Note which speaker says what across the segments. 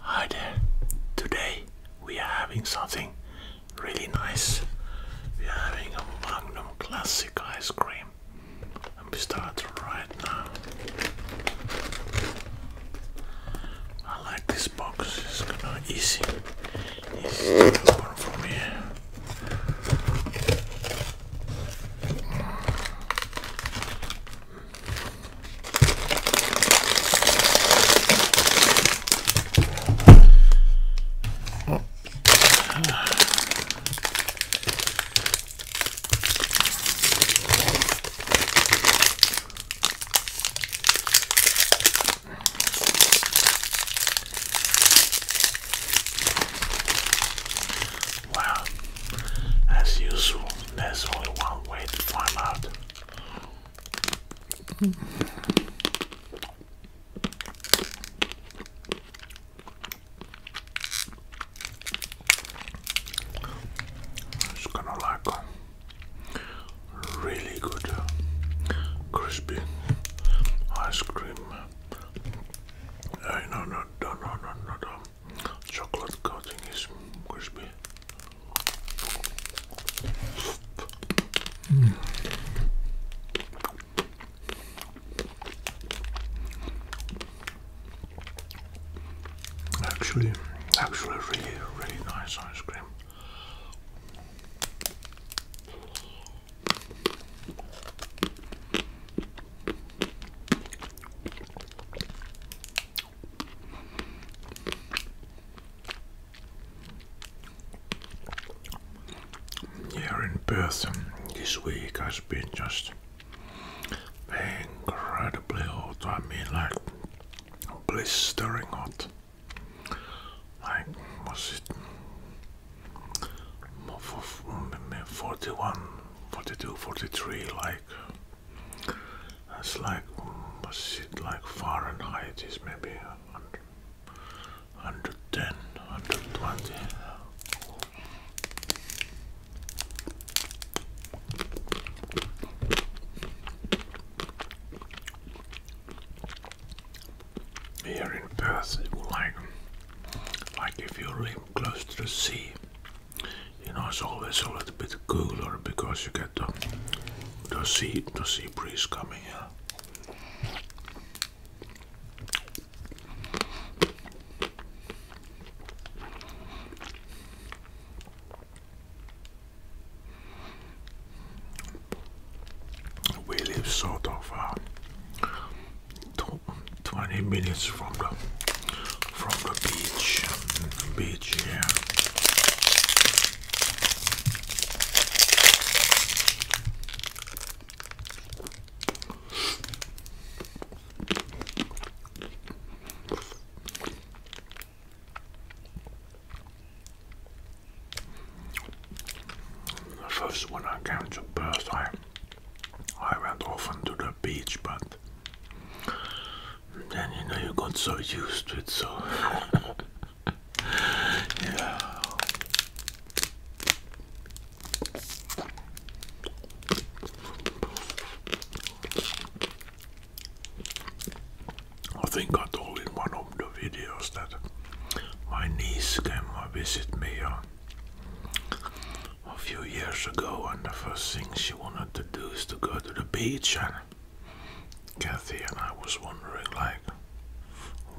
Speaker 1: Hi there, today we are having something really nice. We are having a Magnum Classic ice cream and we start right now. I like this box, it's gonna easy, easy to open from Wow, as usual, there's only one way to find out. It's gonna like really good crispy ice cream. Uh, no, no, no, no, no, no, no. Chocolate coating is crispy. Hmm. Actually, actually, really, really nice ice cream. Here in Perth this week has been just incredibly hot. I mean, like blistering hot. Like, was it more 41 42 43 like that's like was it like Fahrenheit is maybe 100, 110 120 here in Perth like like if you live close to the sea, you know, it's always a little bit cooler because you get the, the sea the sea breeze coming in. We live sort of uh, 20 minutes from the from the beach beach here the first one I came to birth I I went often to the beach, but then you know you got so used to it, so yeah. I think I told in one of the videos that my niece came to visit me. Uh, a few years ago, and the first thing she wanted to do is to go to the beach. And Kathy and I was wondering, like,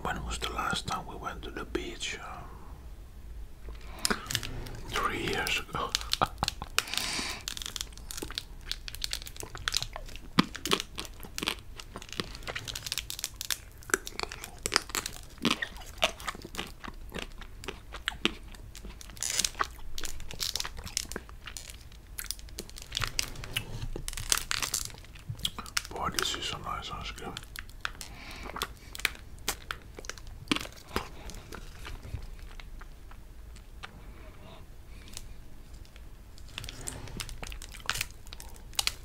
Speaker 1: when was the last time we went to the beach? Um, three years ago. Boy, this is some nice ice cream.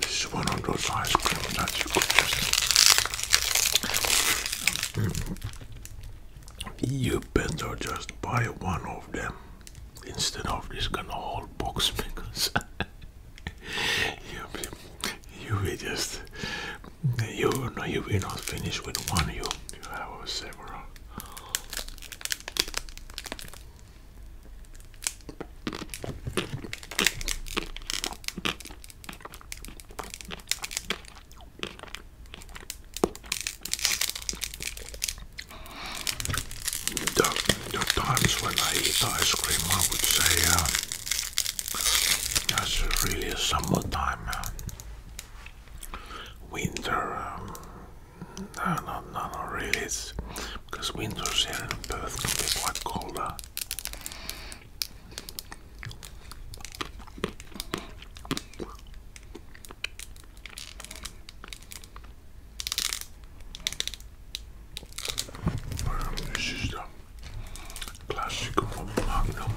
Speaker 1: This is one of those ice cream that you could just. Mm, mm-hmm. you better just buy one of them instead of this kind of whole box because you, you will just you no you will not finish with one you you have several the, the times when I eat ice cream, I would say that's really a summertime, uh, winter, um, no, no, no, no, really. It's because winters here in Perth can be quite colder. this is the classic from Magnum,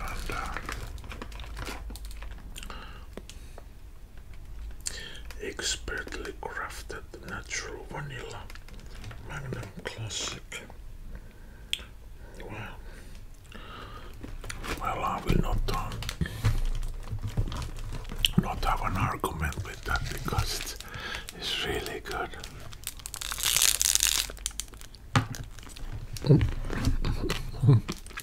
Speaker 1: and uh, Expertly crafted natural vanilla Magnum Classic. Well, well, I will not uh, not have an argument with that because it's, it's really good.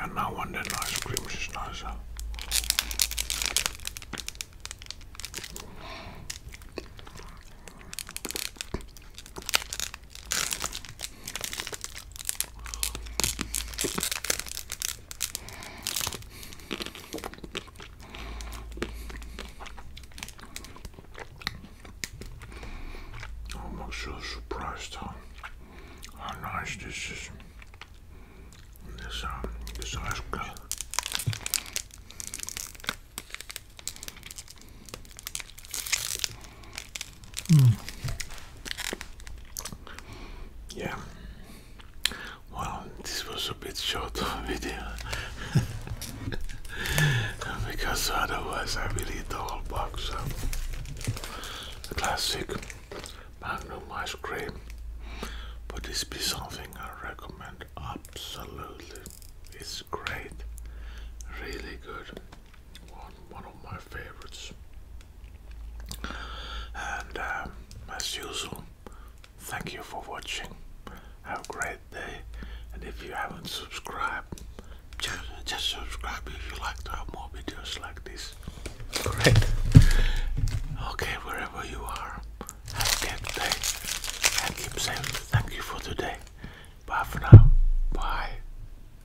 Speaker 1: And now and then ice cream is nicer. I'm so surprised how, how nice this is. This um, this ice cream. Hmm. Yeah. Well, this was a bit short video because otherwise I will eat the whole box of classic Magnum ice cream. But this be something I recommend absolutely. It's great, really good one, of my favorites. And um, as usual, thank you for watching. Have a great day. And if you haven't subscribed, just, subscribe if you like to have more videos like this. Great. Okay, wherever you are, have a great day and keep saying Thank you for today. Bye for now. Bye.